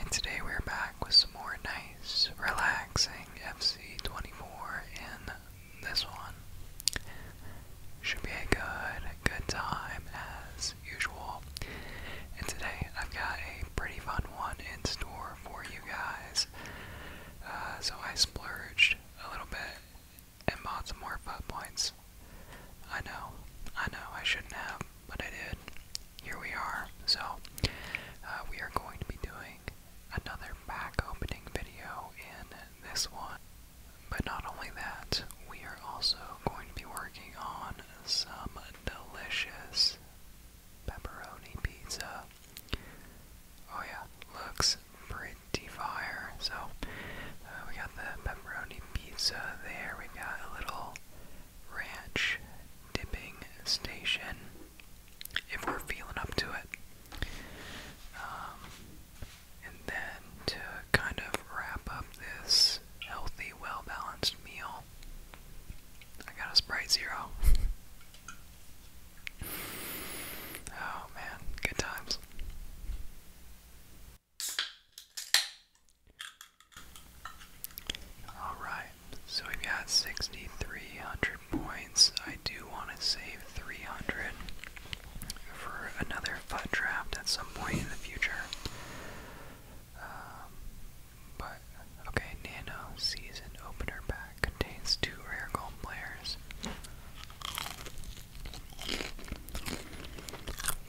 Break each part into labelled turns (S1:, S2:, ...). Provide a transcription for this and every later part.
S1: And today we're back with some more nice, relaxing FC24 in this one. Should be a good, good time as usual. And today I've got a pretty fun one in store for you guys. Uh, so I splurged a little bit and bought some more fun points. I know, I know, I shouldn't have, but I did. Here we are. So, uh, we are going to be doing another back opening video in this one. But not only that, we are also going to be working on some delicious pepperoni pizza. Oh, yeah, looks pretty fire. So, uh, we got the pepperoni pizza there. We got a little ranch dipping station if we're feeling up to it. Um, and then to kind of wrap up this healthy, well balanced meal, I got a Sprite Zero. oh man, good times. Alright, so we've got 6,300 points. I do want to save 300 for another FUT draft at some point in the future. Um, but, okay, Nano Season Opener Pack contains two rare gold players.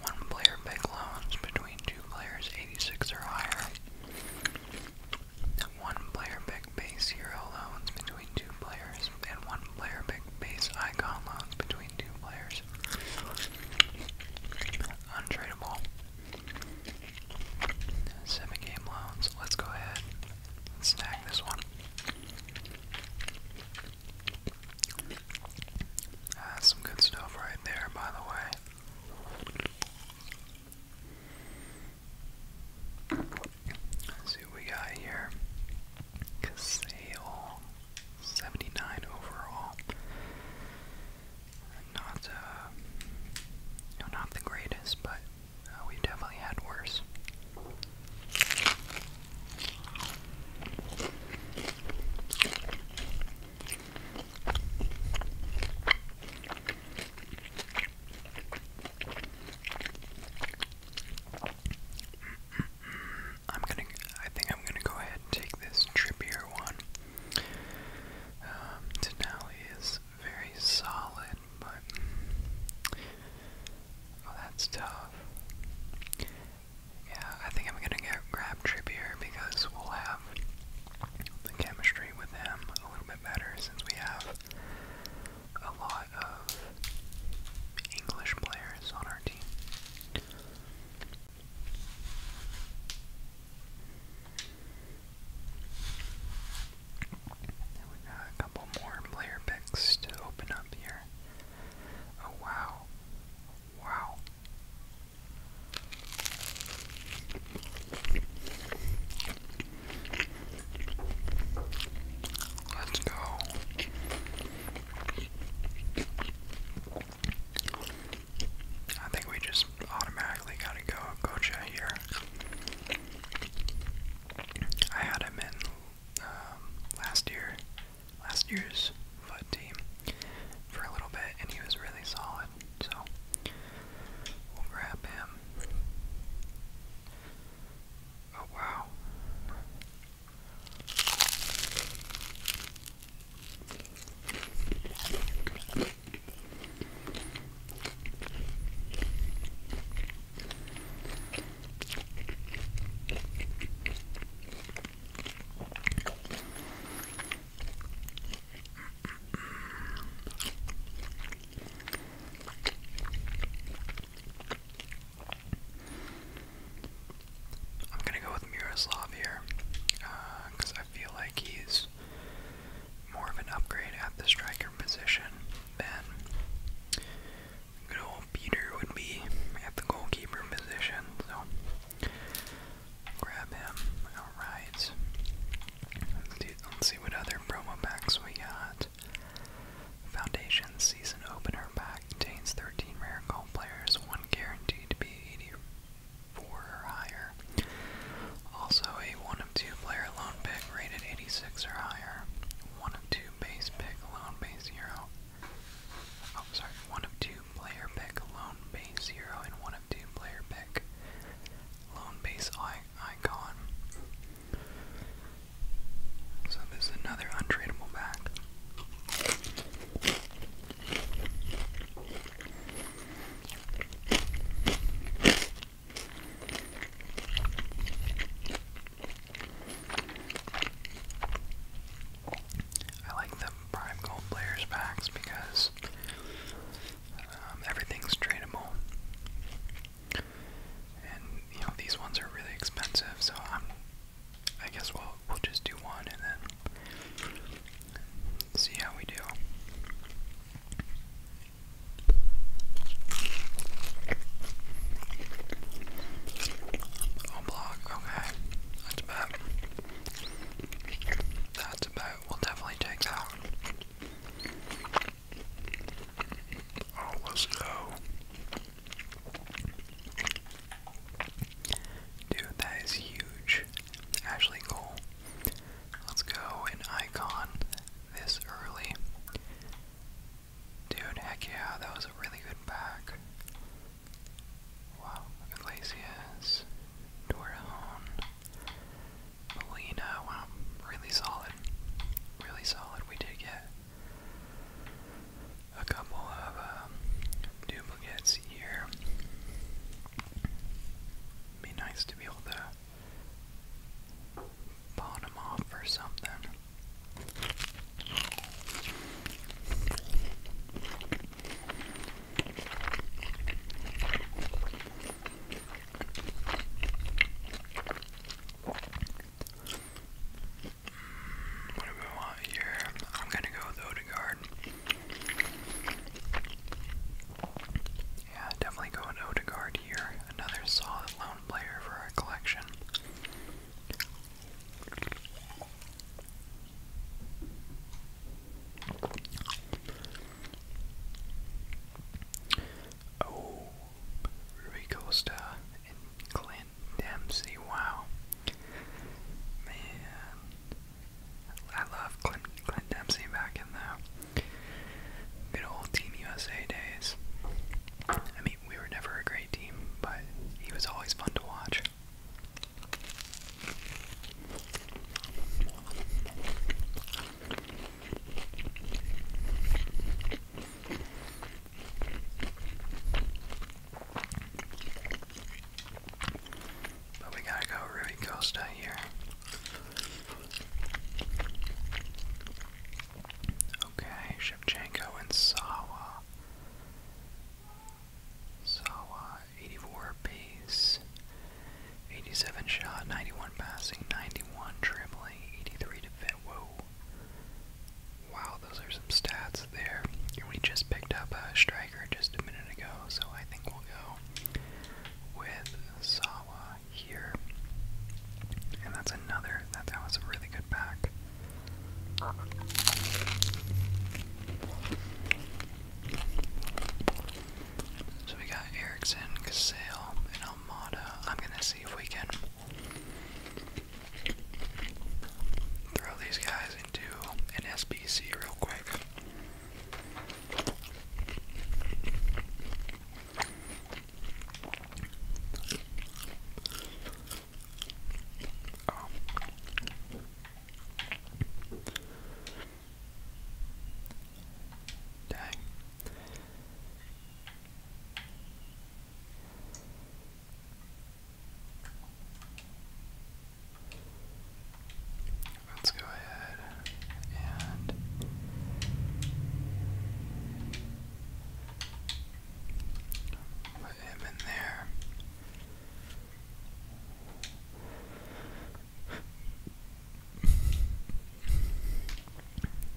S1: One player pick loans between two players 86 or higher. One player big base hero loans between two players, and one player big base icon loans between two players. Untradeable. Seven game loans. Let's go ahead snag this one. That's some good stuff right there, by the way. Let's see what we got here. Casale, 79 overall. Not, uh, no, not the greatest, but uh, we definitely had worse. I'm gonna. I think I'm gonna go ahead and take this trippier one. Um, Denali is very solid, but oh, that's tough. Yeah, I think I'm gonna get grab Trippier because we'll have the chemistry with him a little bit better since we have a lot of English players on our team. And we got a couple more player picks to open up here. Oh wow. Wow. Let's go. I think we just automatically gotta go Gocha here. I had him in um, last year, last year's foot team for a little bit, and he was really solid. So we'll grab him. Oh wow. I'm gonna go with Miroslav here, because uh, I feel like he's more of an upgrade at the striker position than good old Peter would be at the goalkeeper position. So Grab him. Alright. Let's, see what other promo packs we got. Foundation Season Opener Pack contains 13 rare gold players, one guaranteed to be 84 or higher. Also, a 1 of 2 player loan pick rated 86 or higher. 1 of 2 base pick, loan base hero. Oh, sorry, 1 of 2 player pick, lone base zero and one of two player pick, lone base icon. So this is another untradeable back. I like the prime gold players packs because um, everything's tradable. And you know these ones are really expensive, so I'm. I guess we'll we'll just do one and then see how we do. Oh block, okay. That's bad. That's about, we'll definitely take that. Oh, let's go. Dude, that is huge. Actually, cool. Let's go an icon this early. Dude, heck yeah, that was a really good pack. Wow, Iglesias, Torrejon, Molina, wow, really solid. Really solid. We did get a couple of um, duplicates here. Be nice to be able to pawn them off or something. What we want here? I'm gonna go with Odegaard. Yeah, definitely go with Odegaard here. Another solid lone player for our collection. Oh, Ruby and Clint Dempsey. Wow, man, I love Clint Dempsey back in the good old Team USA days. I mean, we were never a great team, but he was always fun to watch. But we gotta go Ruby Costa here. Okay, Shevchenko and Sawa. So, uh, 84 base, 87 shot, 91 passing, 91 dribbling, 83 defense. Wow, those are some stats there. We just picked up a striker just a minute ago, so I think we'll go with Sawa here. And that's another, that, that was a really good pack. So we got Erickson, Casale, and Almada. I'm gonna see if we can throw these guys into an SBC real quick. Dang. Let's go ahead and put him in there.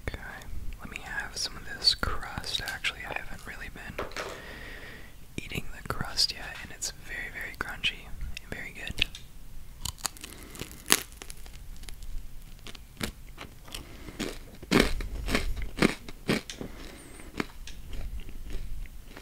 S1: Okay, let me have some of this crust. Actually, I haven't really been eating the crust yet, and it's very, very crunchy and very good.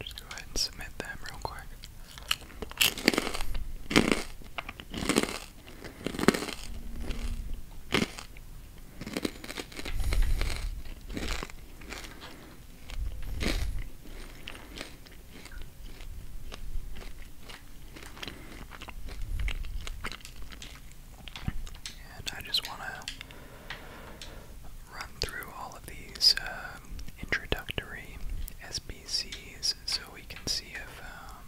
S1: Just go ahead and submit them real quick. And I just want to run through all of these um, introductory SBCs so we can see if um,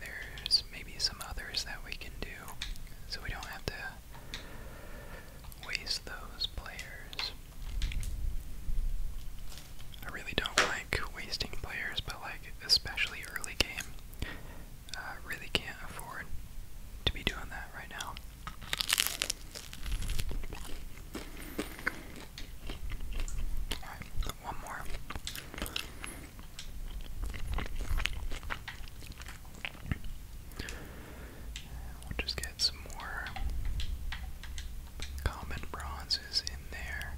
S1: there's maybe some others that we can do so we don't have to waste those players. I really don't like wasting players, but like especially early game, I uh, really can't afford to be doing that right now. one more. We'll just get some more common bronzes in there.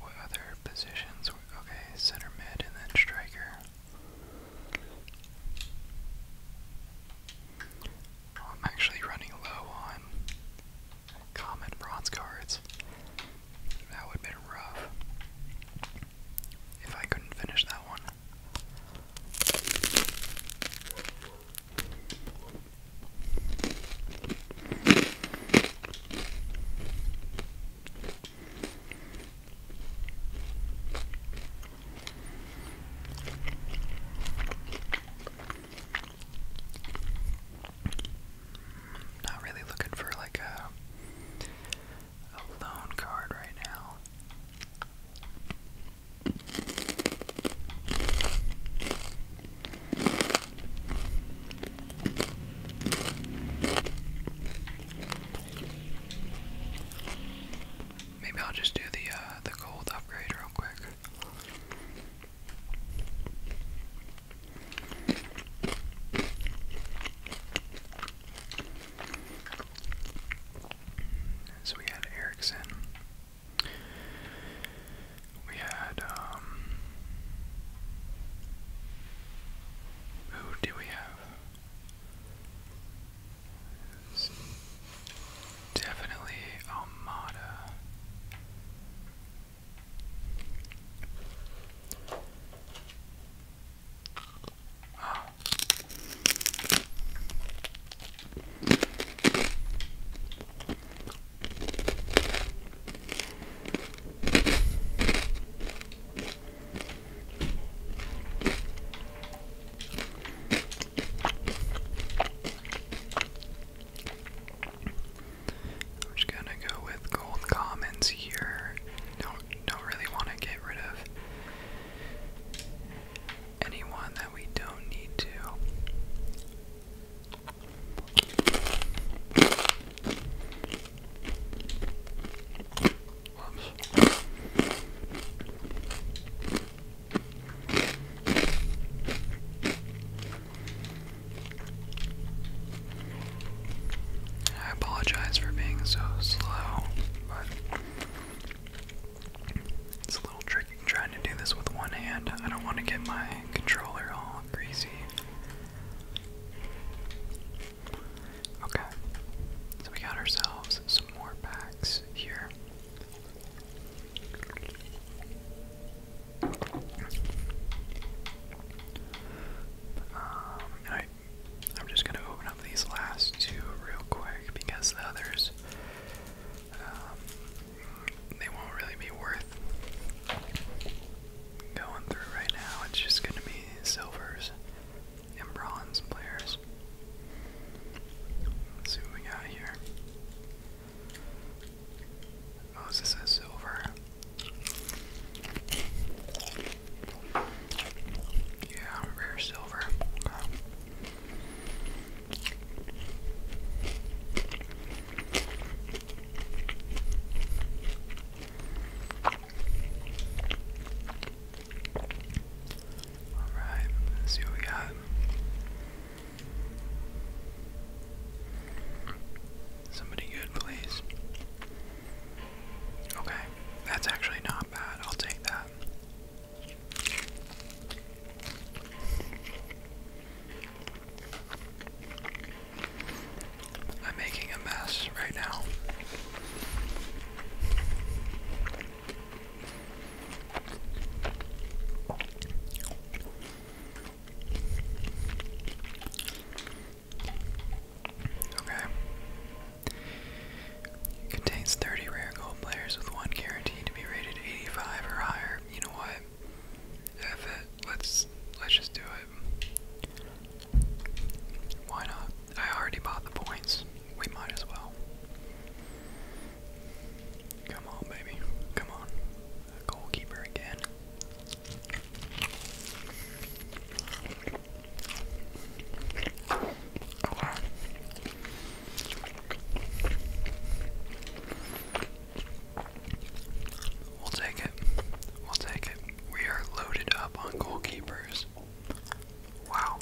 S1: What other positions? Okay, center mid and then striker. I'm actually running low on common bronze cards. That would been rough if I couldn't finish that one. Not really looking for like a loan card right now. Maybe I'll just do the uh, the gold upgrade real quick. So we had Erickson. We had, um, Who do we have? Definitely Amada. I'm just gonna go with gold commons here. Don't don't really want to get rid of anyone that we don't need to. I apologize for being so slow, but it's a little tricky trying to do this with one hand. I don't want to get my controller all greasy. Okay, so we got ourselves some more packs here. I, um, am just gonna open up these last two real quick because the others, um, they won't really be worth going through right now. It's just gonna be silvers and bronze players. see what we got here. Oh, is silver? Yeah, rare silver. Alright, see what we got. Somebody good, please. Okay, that's actually not bad. I'll take that. I'm making a mess right now. Okay. Contains 30 rare gold players with one guaranteed to be rated 85 or higher. You know what? F it. Let's let's just do it. Why not? I already bought the points. We might as well. Come on, baby. Come on. goalkeeper again. We'll take it. We'll take it. We are loaded up on goalkeepers. Wow.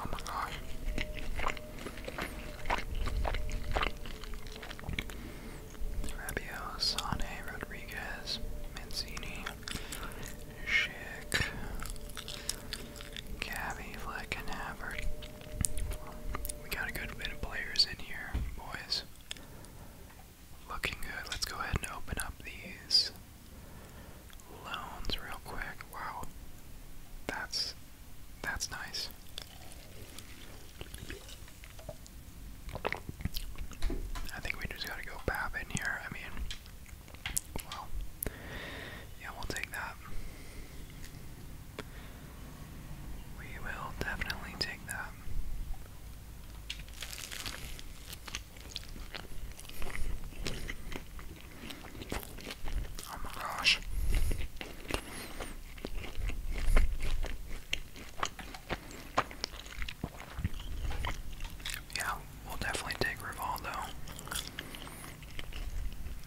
S1: Oh my gosh. Rabio, Sane, Rodriguez, Mancini, Schick, Gabby, Fleck, and Havert. we got a good bit of players in here, boys. Looking good. Let's go ahead and open up these loans real quick wow, that's that's nice. I think we just gotta go Bab in here. I mean, well, yeah, we'll take that. We will definitely take that. Oh my gosh. Yeah, we'll definitely take Rivaldo.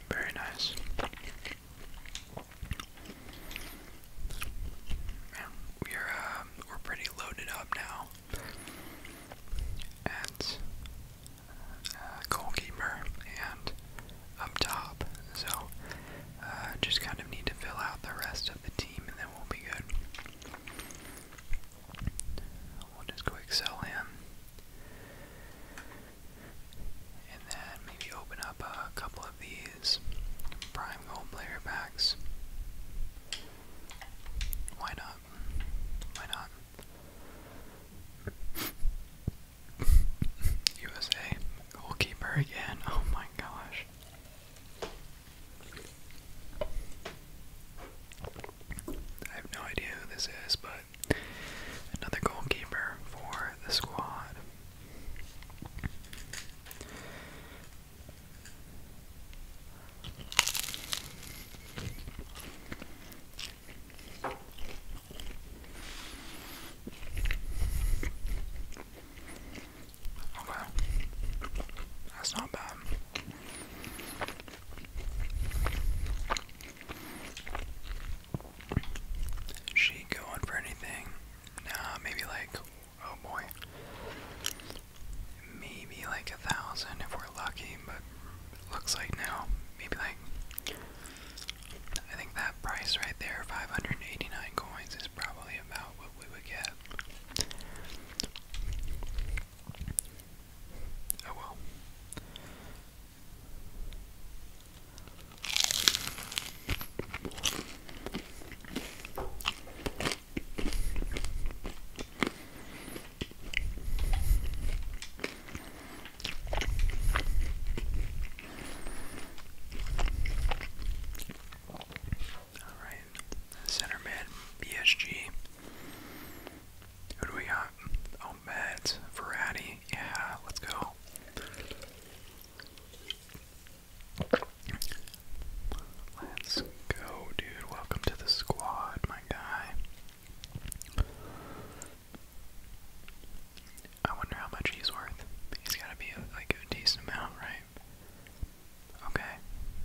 S1: Very nice. we're uh, we're pretty loaded up now. At uh, goalkeeper and up top. So uh, just kind of need to fill out the rest of the team and then we'll be good. We'll just quick sell him. And then maybe open up a couple of these prime gold player packs. Why not? Why not? USA goalkeeper again. Oh my gosh. I have no idea who this is, but another goalkeeper for the squad. Okay. That's not bad. She going for anything? Nah, maybe like, oh boy. Maybe like a thousand if we're lucky, but looks like now. Maybe like I think that price right there, 589 coins, is probably about what we would get. Oh well. Alright, center mid, BSG. Who do we got? Oh, Meds, Yeah, let's go. Let's go, dude. Welcome to the squad, my guy. I wonder how much he's worth. He's gotta be like a decent amount, right? Okay,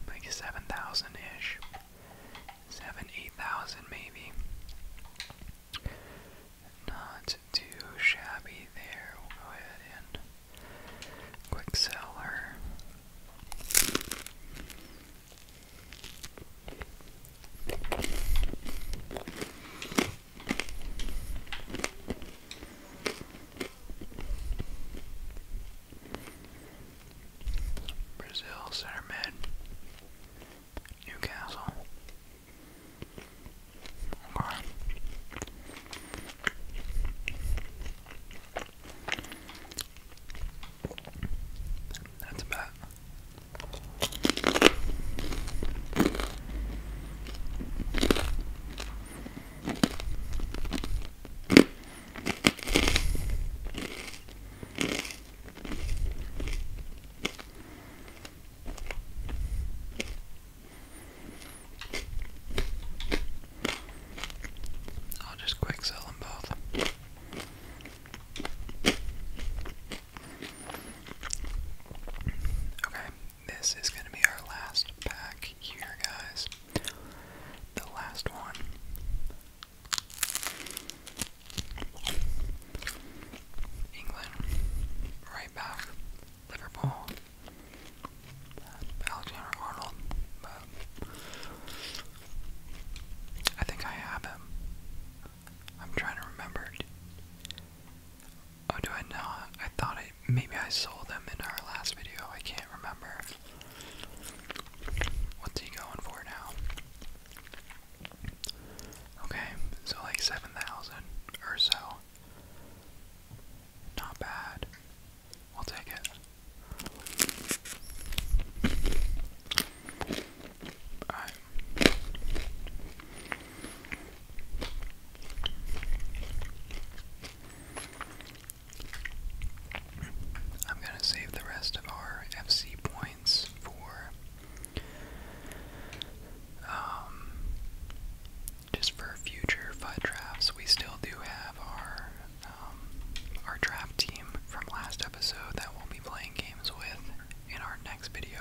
S1: like 7,000 ish. 7, 8,000 maybe. Not too shabby there. We'll go ahead and quick sell her. Brazil center mid, Newcastle. That's about I'll just quick sell them both. Okay, this is going to be our last pack here, guys. The last one. England, right back. Liverpool, uh, Alexander Arnold. But I think I have him. I'm trying to remember. Oh, do I know? I thought I maybe I sold them in our last video. I can't remember. What's he going for now? Okay, so like 7,000 or so. Not bad. We'll take it. I am gonna save the rest of our FC points for um, just for future FUD drafts. We still do have our um, our draft team from last episode that we'll be playing games with in our next video.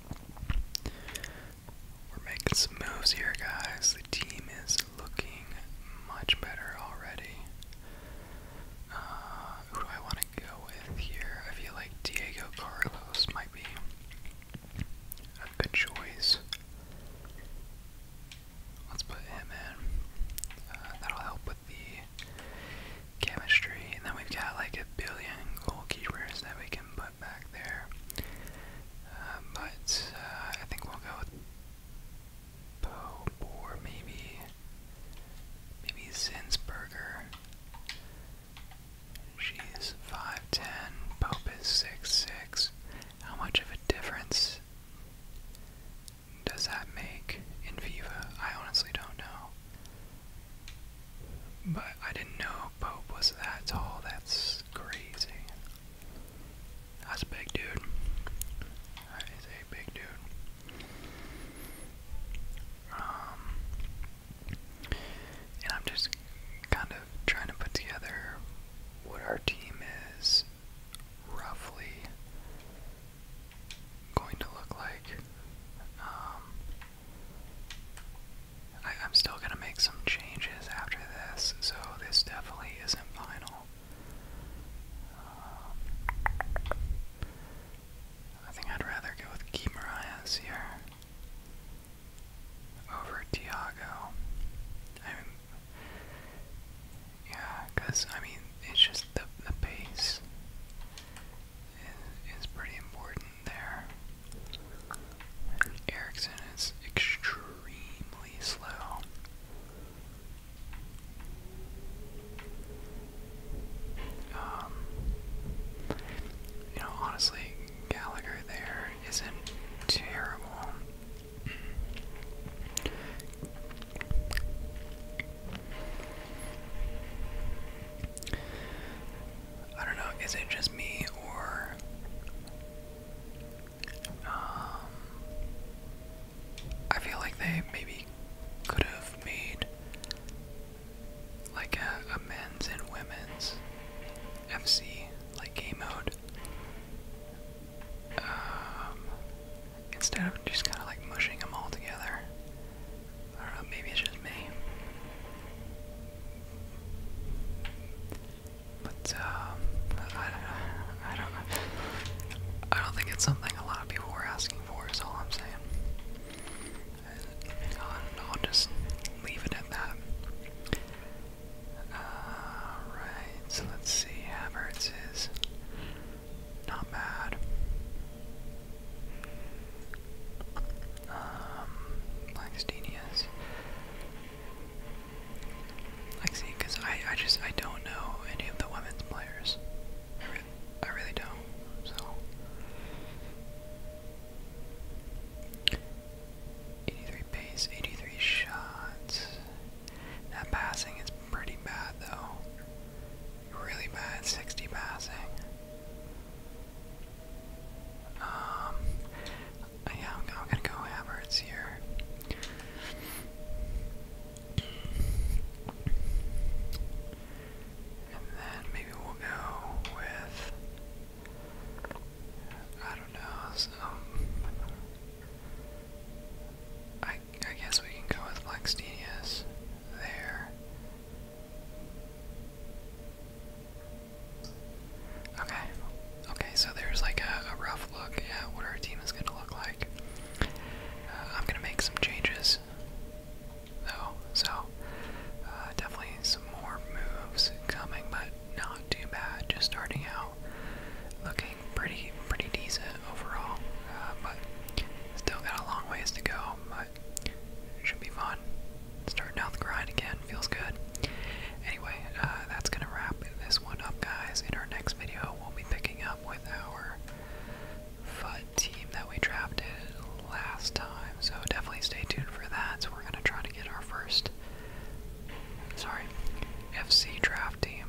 S1: We're making some moves here, guys. The team is looking much better already. Uh, who do I want to go with here? I feel like Diego Carlos might be a good choice. Let's put him in. Uh, that'll help with the chemistry, and then we've got like a billion goalkeepers that we can put back there. Um, but uh, I think we'll go with Pope or maybe maybe Zinsberger. She's five ten. Pope is six six. How much of a difference does that make in Viva? I honestly don't know. But I didn't know Pope was that tall. That's crazy. That's a big dude. That is a big dude. Um, and I'm just kind of trying to put together what our team is roughly going to look like. Um, I, am still going to make some changes after this, so this definitely isn't final. Um, I think I'd rather go with Key Marias here over Tiago. I mean, yeah, because, I mean, it's just the, the pace is, is pretty important there. Erickson is extremely slow. Um, you know, honestly, Gallagher there isn't terrible. I don't know, is it just me or um, I feel like they maybe could have made like a, men's and women's FC like game mode. Um, instead of just kind of like mushing them all together, I don't know, maybe it's just me. But um, I, don't I don't think it's something a lot of people were asking for. Is all I'm saying. And I'll, I'll just leave it at that. All right. So let's see. Havertz is not bad. Um, Langstenius. see, because I, I just, I don't know any of the women's players. I really don't, so. 83 pace, 83 shots. That passing is pretty bad, though. Really bad, 60 passing. Um, yeah, I'm, gonna go Havertz here. And then maybe we'll go with I don't know. I I guess we can go with Blackstenius there. Okay. Okay, so there's like a, rough look at what our team is going to look like. Uh, I'm going to make some changes, though. So, uh, definitely some more moves coming, but not too bad. Just starting out looking pretty, pretty decent overall. Uh, but still got a long ways to go it should be fun. Starting out the grind again feels good. Anyway, uh, that's gonna wrap this one up, guys. In our next video, we'll be picking up with our FUD team that we drafted last time. So definitely stay tuned for that. So we're gonna try to get our first, sorry, FC draft team.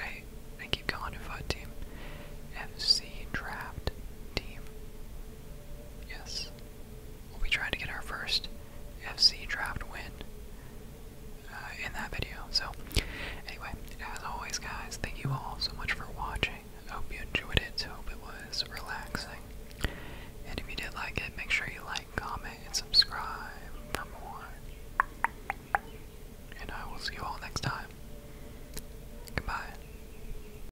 S1: I keep going it FUD team. FC draft team. Yes, we tried to get our first FC draft win uh, in that video. So, anyway, as always, guys, thank you all so much for watching. hope you enjoyed it. Hope it was relaxing. And if you did like it, make sure you like, comment, and subscribe for more. And I will see you all next time. Goodbye.